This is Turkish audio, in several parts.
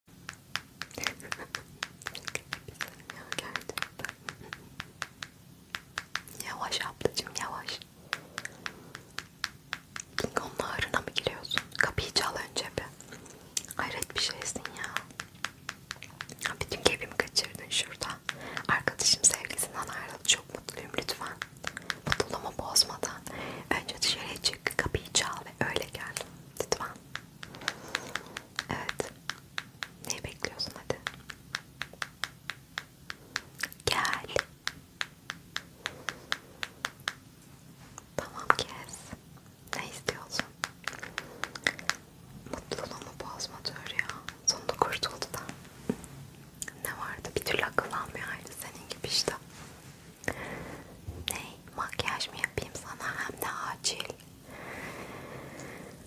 yavaş ablacım yavaş. Klingon'un ağrına mı giriyorsun? Kapıyı çal önce bir. Hayret bir şeysin ya. Bütün keyfimi kaçırdın şurada. Arkadaşım sevgisinden ayrıldı. Çok mutluyum lütfen. Mutluluğumu bozmadan önce dışarıya çık, kapıyı çal ve öyle gel. Lütfen. Evet. Neyi bekliyorsun hadi? Gel. Tamam kes. Ne istiyorsun? Mutluluğumu bozma diyor ya. Sonunda kurtuldu da. Ne vardı? Bir türlü akıllanmıyor ayrı senin gibi işte. Ne? Makyaj mı yapayım sana hem de acil?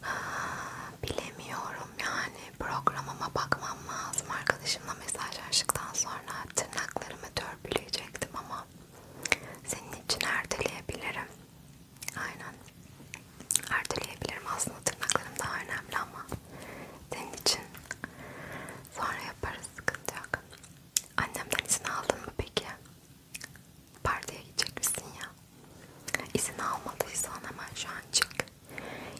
Aa, bilemiyorum yani programıma bakmam lazım. Arkadaşımla mesajlaştıktan sonra tırnaklarımı törpüleyecektim ama senin için erteleyebilirim. Aynen. Erteleyebilirim aslında tırnaklarım daha önemli ama senin için sonra yaparız sıkıntı yok. Annemden izin aldın mı peki? Partiye gidecek misin ya? İzin almadıysan hemen şu an çık.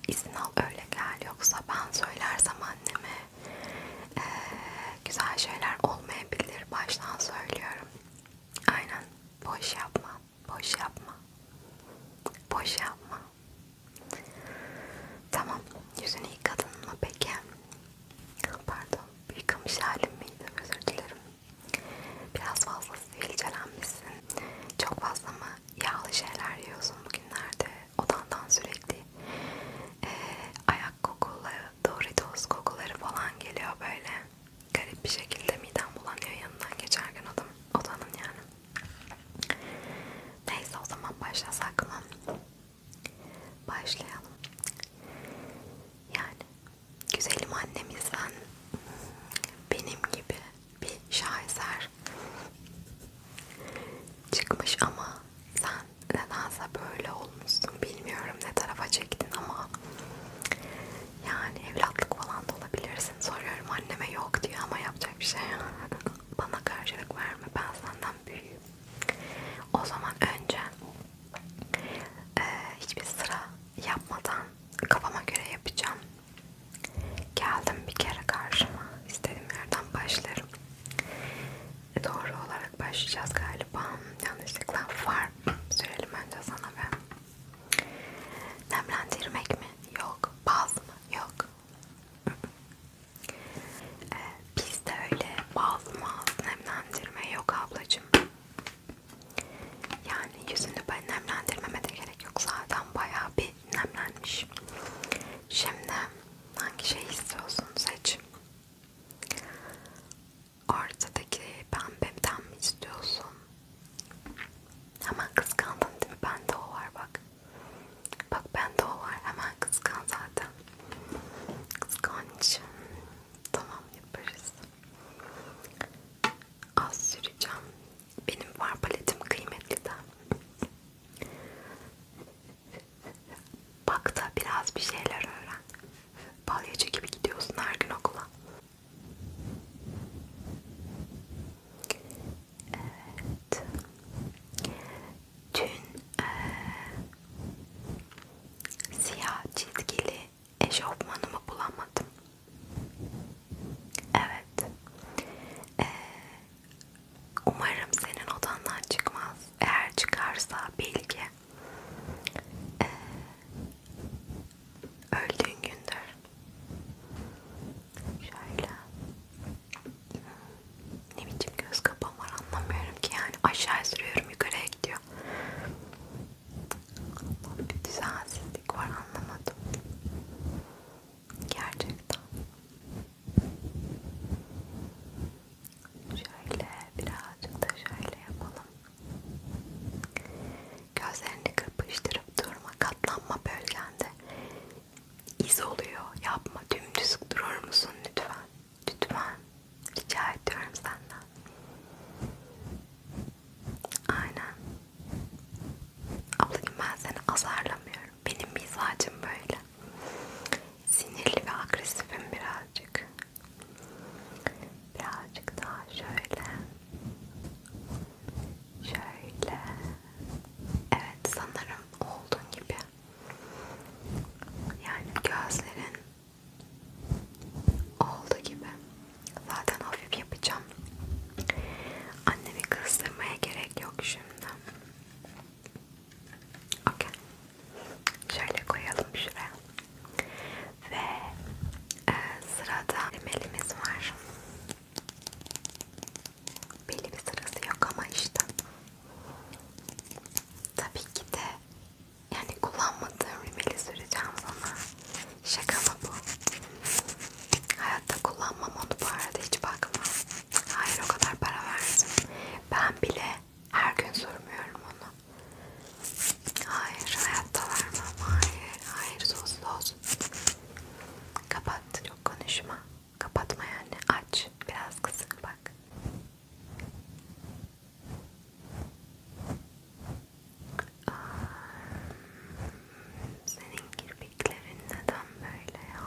İzin al öyle gel yoksa ben söylersem anneme ee, güzel şeyler olmayabilir baştan söylüyorum. Aynen boş yapma, boş yapma, boş yapma. Tamam yüzünü yıkadın mı peki? Pardon, yıkamış halim miydi? Özür dilerim. Biraz fazla sivilcelenmişsin. Çok fazla mı yağlı şeyler yiyorsun bugünlerde? Odandan sürekli e, ayak kokuları, Doritos kokuları falan geliyor böyle. Garip bir şekilde midem bulanıyor yanından geçerken odan, odanın yani. Neyse o zaman başlasak mı? Başlayalım. Yani güzelim annemizden benim gibi bir şaheser çıkmış ama sen nedense böyle olmuşsun bilmiyorum ne tarafa çektin ama yani evlatlık falan da olabilirsin soruyorum anneme yok diyor ama yapacak bir şey bana karşılık verme ben senden büyüğüm o zaman önce ee, hiçbir sıra yapmadan kafama göre yapacağım. Geldim bir kere karşıma. İstediğim yerden başlarım. E, doğru olarak başlayacağız galiba. Yanlışlıkla var. Söyleyelim önce sana ben. Nemlendirmek mi? Yok. Baz mı? Yok. Ee, Bizde öyle ballı mağazı nemlendirme yok ablacığım. Yani yüzünü ben nemlendirmeme de gerek yok. Zaten bayağı bir nemlenmiş. Şimdi hangi şey istiyorsun seç. Ortadaki pembemden mi istiyorsun? Hemen kıskandın değil mi? Bende o var bak. Bak bende o var. Hemen kıskan zaten. Kıskanç. Tamam yaparız. Az süreceğim. Benim var paletim kıymetli de. Bak da biraz bir şeyler öğren. Balyacı gibi gidiyorsun her gün okula. Evet. Dün e, siyah çizgili eşofmanımı bulamadım. Evet. E, umarım senin odandan çıkmaz. Eğer çıkarsa bilgi. E, öldüğün gündür. Şöyle ne biçim göz kapağım var anlamıyorum ki yani aşağı sürüyorum yukarıya gidiyor. Bir düzensizlik var anlamadım. Gerçekten. Şöyle birazcık da şöyle yapalım. Gözlerini kırpıştırıp durma. Katlanma bölgende iz oluyor. Yapma. Dümdüz durur musun lütfen? Lütfen. Rica ediyorum senden. Aynen. Ablacığım ben seni azarlamıyorum. Benim mizacım böyle. Sinirli ve agresifim birazcık. Birazcık daha şöyle. Şöyle. Evet sanırım olduğun gibi. Yani gözlerin Oldu gibi. Zaten hafif yapacağım. Annemi kızdırmaya gerek yok şimdi. Okay. Şöyle koyalım şuraya. Ve e, sırada elimiz var. Belli bir sırası yok ama işte. Tabii ki de yani kullanmadığım rimeli süreceğim sana. Şaka mı bu? Hayatta kullanmam onu bu arada hiç bakma. Hayır o kadar para verdim. Ben bile her gün sürmüyorum onu. Hayır hayatta vermem. Hayır. Hayır sus sus. Kapat. Çok konuşma. Kapatma yani. Aç. Biraz kısık bak. Aa, senin kirpiklerin neden böyle ya?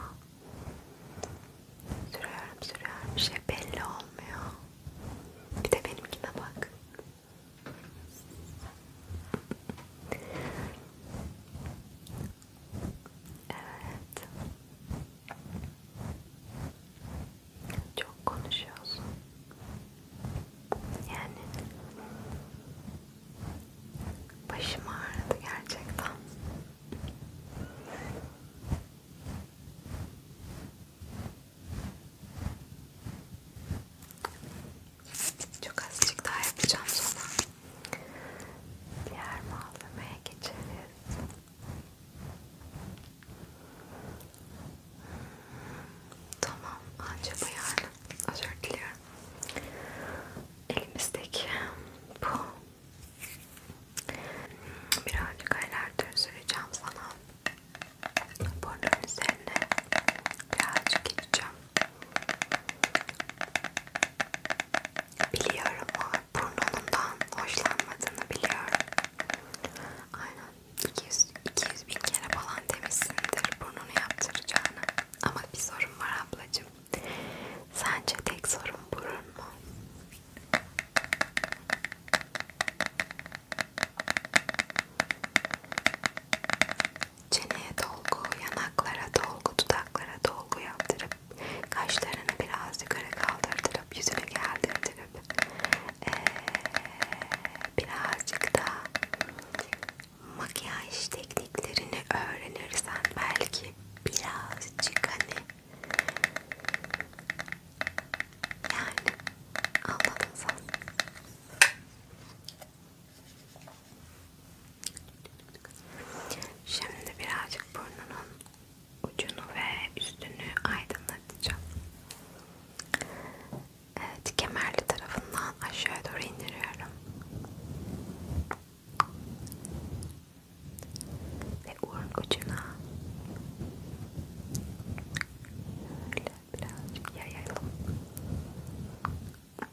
Sürüyorum sürüyorum bir şey belli olmuyor. Bir de benimkine bak. Evet. Çok konuşuyorsun. Yani başım ağrıdı gerçekten. Çok azıcık daha yapacağım sonra diğer malzemeye geçeriz. Tamam, acaba yani özür diliyorum. Elimizdeki bu birazcık aylardır süreceğim sana. Burnun üzerine birazcık gideceğim. Biliyorum o burnundan hoşlanmadığını biliyorum. Aynen 200, 200 bin kere falan demişsindir burnunu yaptıracağını. Ama bir sorun var ablacığım. Sence tek sorun burun mu? Çeneye dolgu, yanaklara dolgu, dudaklara dolgu yaptırıp kaşlarını biraz yukarı kaldırtırıp yüzünü geldirtirip ee, birazcık da makyaj tekniklerini öğrenirsen belki birazcık hani yani anladın sen. Şimdi birazcık burnunun ucunu ve üstünü aydınlatacağım. Evet, kemerli tarafından aşağı doğru indiriyorum. Ve uğrun ucuna böyle birazcık yayalım. Evet,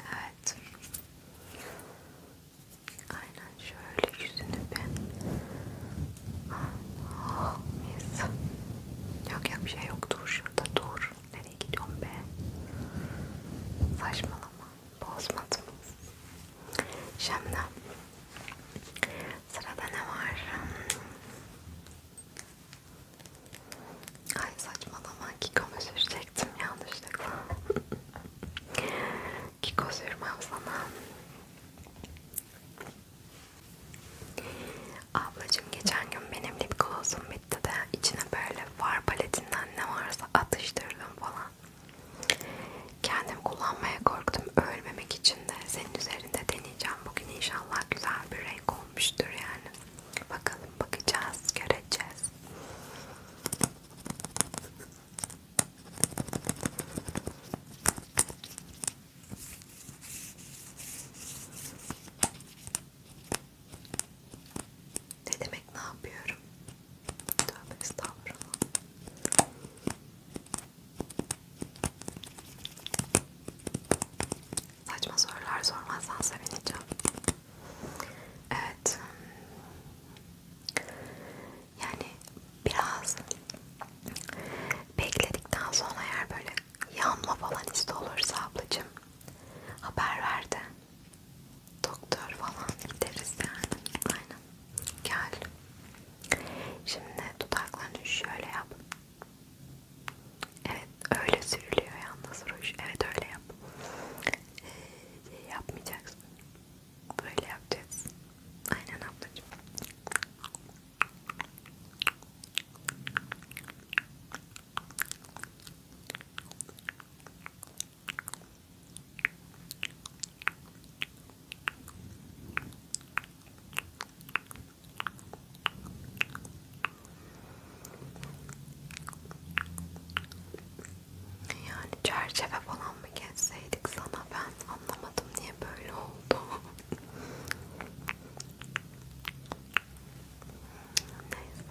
Evet. Aynen şöyle yüzünü ben. Ah, mis. Yok yok bir şey yok. Dur şurada dur. Nereye gidiyorsun be? Saçmalama. Bozmadım. Şimdi sırada ne var? Ay saçmalama Kiko'mu sürecektim yanlışlıkla. Kiko sürmem sana. Ablacım geçen gün benim lip gloss'um bitti de içine böyle far paletinden ne varsa atıştırdım falan. Kendim kullanmaya korktum ölmemek için de senin üzerine renklerini de deneyeceğim bugün inşallah güzel bir renk olmuştur yani bakalım bakacağız göreceğiz ne demek ne yapıyorum? Tövbe estağfurullah. Saçma sorular sormazsan sevineceğim. Evet. Yani biraz bekledikten sonra eğer böyle yanma falan iste olursa ablacığım haber ver de doktor falan gideriz yani. Aynen. Gel. Şimdi dudaklarını şöyle yap. Evet öyle sürülüyor yalnız ruj. Evet öyle yap. Ee, yapmayacaksın. Böyle yapacağız. Aynen ablacığım. Yani çerçeve falan mı geçseydik sana ben anlamadım niye böyle oldu. Neyse.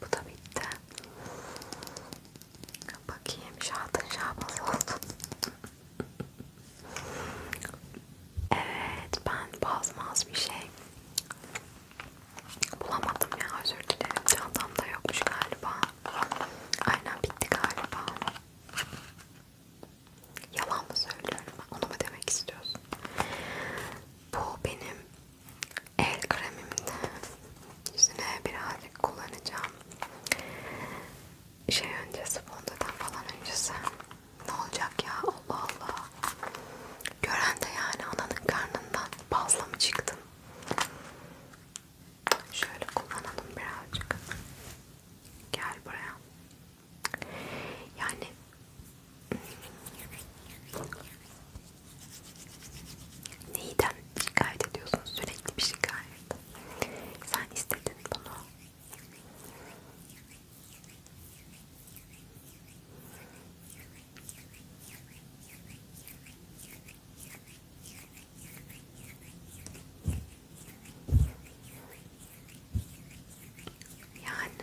Bu da bitti. Bakayım şahatın şahbaz oldu. evet ben bazmaz bir şey bulamadım ya özür dilerim. Çantamda yokmuş galiba. Aynen bitti galiba. Yalan mı söylüyorum? Onu mu demek istiyorsun? Bu benim El kremimi de yüzüne birazcık kullanacağım. Şey öncesi, fondadan falan öncesi. Ne olacak ya? Allah Allah. Gören de yani ananın karnından bazla mı çıktın? Şöyle kullanalım birazcık. Gel buraya. Yani Neyden şikayet ediyorsun? Sürekli bir şikayet. Sen istedin bunu. Yani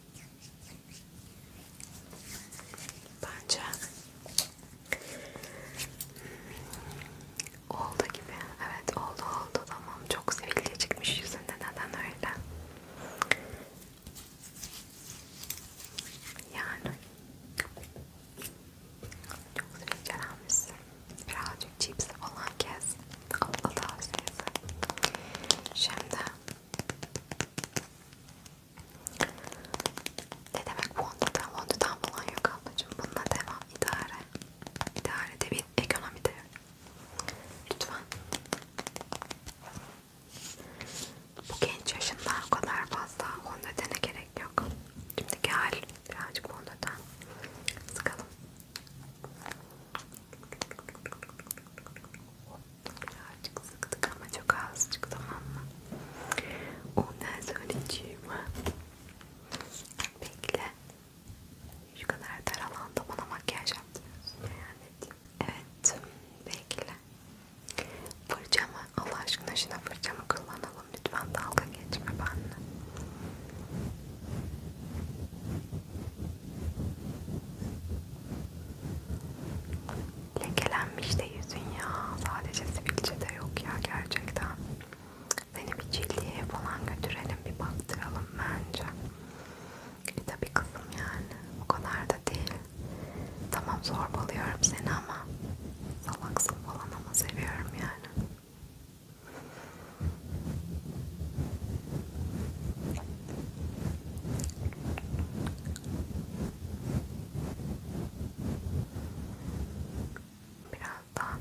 Bence oldu gibi. Evet oldu oldu tamam. Çok sivilce çıkmış yüzünde neden öyle? Yani çok sivilcelenmişsin. Birazcık cips falan kes. Abla tavsiyesi. Şimdi ne demek Wonder'dan? Wonder'dan falan yok ablacığım. Bununla devam. İdare. İdare de bir ekonomi de. Lütfen. Bu genç yaşında o kadar fazla Wonder'dene gerek yok. Şimdiki hal birazcık Wonder'dan. Sıkalım. Birazcık sıktık ama çok azıcık tamam mı? Ondan söyleyeceğim. Bekle. Şu kadar daralanda bana makyaj yaptırıyorsun. Yani. Evet. Bekle. Fırçamı Allah aşkına şuna fırçamı kullanalım. Lütfen dalga geçme benimle. Lekelenmiş de yüzün ya. Sadece sivilce de yok ya gerçekten. Seni bir cildiye falan götürelim bir baktıralım bence. E tabi kızım yani. O kadar da değil. Tamam zorbalıyorum seni ama salaksın falan ama seviyorum yani. Biraz daha.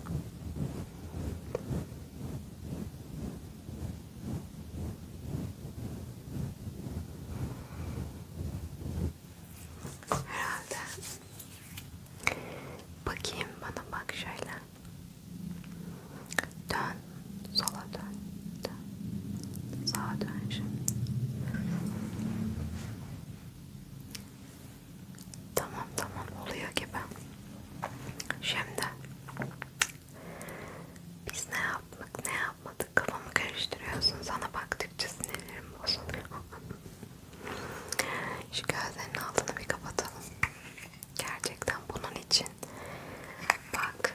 Herhalde. Bakayım bana bak şöyle. Dön sola sola dön. dön. Sağa dön şimdi. Tamam tamam oluyor gibi. Şimdi biz ne yaptık ne yapmadık kafamı karıştırıyorsun sana baktıkça sinirlerim bozuluyor. Şu gözlerinin altını bir kapatalım. Gerçekten bunun için bak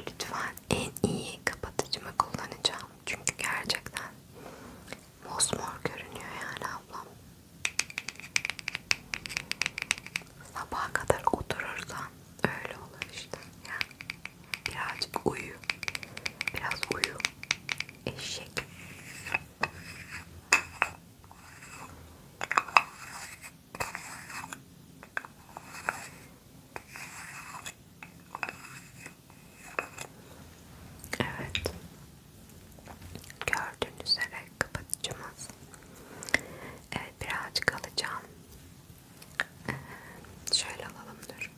Lütfen en iyi kapatıcımı kullanacağım. Çünkü gerçekten mosmor görünüyor yani ablam. Sabaha kadar oturursan öyle olur işte. Ya. Birazcık uyu. Biraz uyu. Eşek. Evet. Gördüğünüz üzere kapatıcımız. Evet birazcık alacağım. Ee, şöyle alalım dur.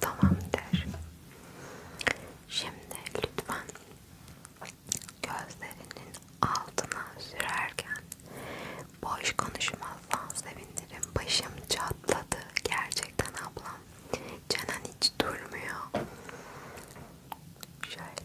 Tamamdır. Şimdi lütfen gözlerinin altına sürerken boş konuşmazsan sevinirim. Başım çatladı gerçekten ablam. Canan hiç durmuyor. Şöyle.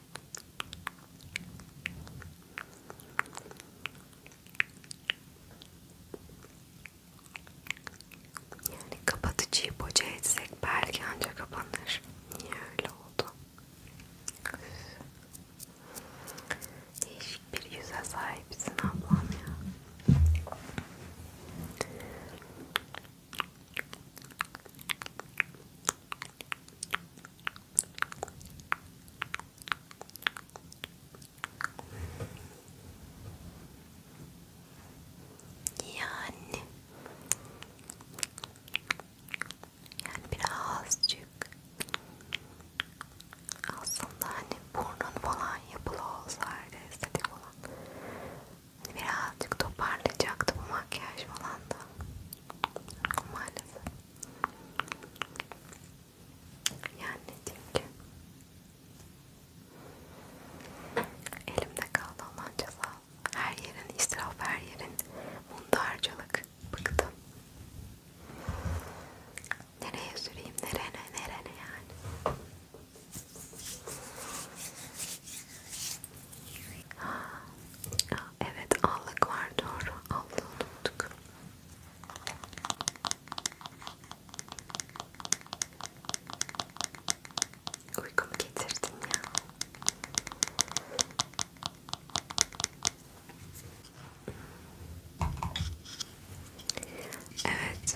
Yani kapatıcıyı boca etsek belki ancak kapanır. Niye öyle oldu? Değişik bir yüze sahipsin ablam ya. Yani yani birazcık aslında hani burnun falan yapılı olsaydı estetik olan hani birazcık toparlayacaktı bu makyaj falan da maalesef yani ne diyeyim ki elimde kaldı Allah'ın cezası her yerin israf her yerin mundarcılık bıktım nereye süreyim nereye nereye yani Evet allık var doğru. Allığı unuttuk. Uykumu getirdin ya. Evet.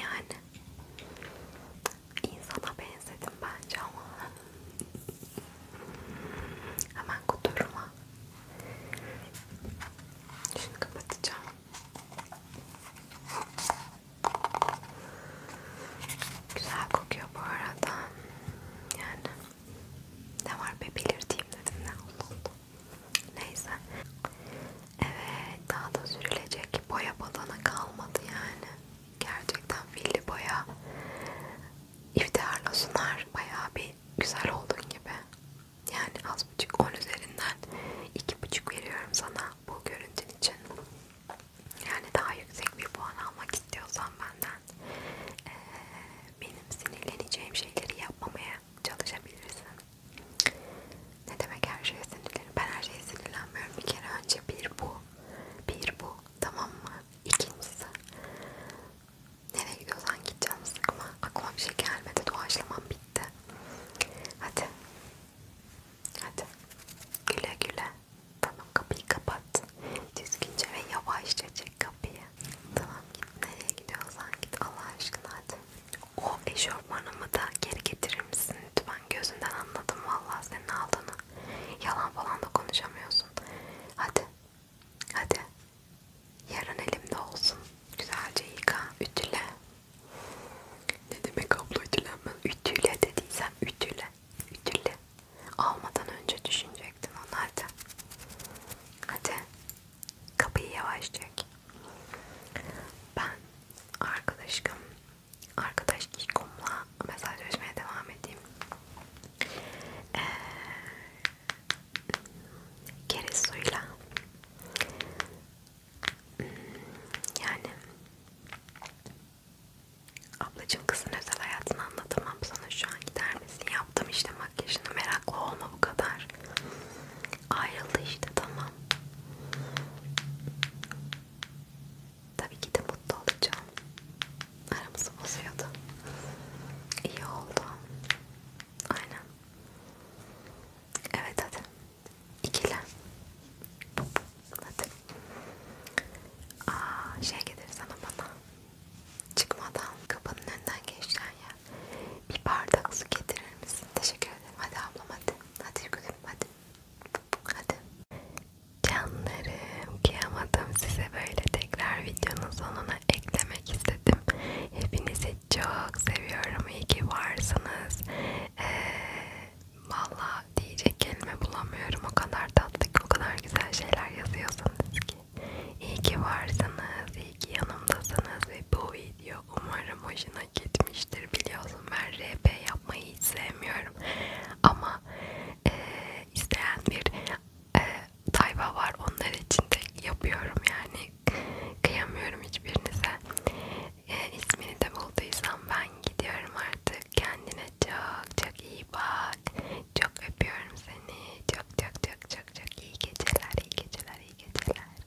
Yani insana benzedim bence ama hemen kuturuma şimdi kapatacağım. Güzel kokuyor bu arada. Yani ne var be belirteyim dedim ne oldu. Neyse. Evet daha da sürülecek boya badana kalmadı yani. Gerçekten filli boya iftiharla sunar. Bayağı bir güzel oldun gibi. Yani az buçuk 10 üzerinden 2,5 veriyorum sana bu görüntün için. Yani daha yüksek bir puan almak istiyorsan benden ee, benim sinirleneceğim şeyleri yapmamaya çalışabilirsin. Ne demek her şeye sinirlenirim? Ben her şeye sinirlenmiyorum. Bir kere önce bir bu, bir bu, tamam mı? İkincisi, nereye gidiyorsan git canım sıkma. Aklıma bir şey gelmedi, doğaçlamam bitti. Hadi, hadi. Güle güle. Tamam kapıyı kapat. Düzgünce ve yavaşça çek kapıyı. Tamam git nereye gidiyorsan git Allah aşkına hadi. O eşofmanımı da geri getirir misin lütfen? Gözünden anladım vallahi senin aldığını. Yalan falan da konuşamıyorsun. Hadi. Hadi. Yarın elimde olsun. Güzelce yıka, ütüle. Ne demek abla ütülenme? Ütüle dediysem ütüle. Ütüle. Almadan önce düşünecektin onu hadi. Hadi. Kapıyı yavaş çek. Ben arkadaşım arkadaş ikomla mesajlaşmaya devam edeyim. Ee, kere suyla hmm, yani ablacım kızın özel hayatını anlatamam sana şu an gider misin yaptım işte makyajını meraklı olma bu kadar Ayrıldı işte tamam. Tabii ki de mutlu olacağım. Aramızı bozuyordu. İyi oldu. Aynen. Evet hadi. İkile. Hadi. Aa, şey gelir sana bana. Çıkmadan kapının önünden geçen ya. Bir bardak su getirir misin? Teşekkür ederim. Hadi ablam hadi. Hadi gülüm hadi. Hadi. Canlarım kıyamadım size böyle tekrar videonun sonuna eklemek istedim. Hepinizi çok seviyorum. İyi ki varsınız. Ee, Valla diyecek kelime bulamıyorum. O kadar tatlı ki o kadar güzel şeyler yazıyorsunuz ki. İyi ki varsınız. İyi ki yanımdasınız ve bu video yazıyor. Umarım hoşuna gitmiştir. Biliyorsun ben RP yapmayı hiç sevmiyorum. Ama e, isteyen bir e, tayfa var. Onlar için de yapıyorum yani. Kıyamıyorum hiçbirinize. E, ismini de bulduysam ben gidiyorum artık. Kendine çok çok iyi bak. Çok öpüyorum seni. Çok çok çok çok çok iyi geceler, iyi geceler, iyi geceler.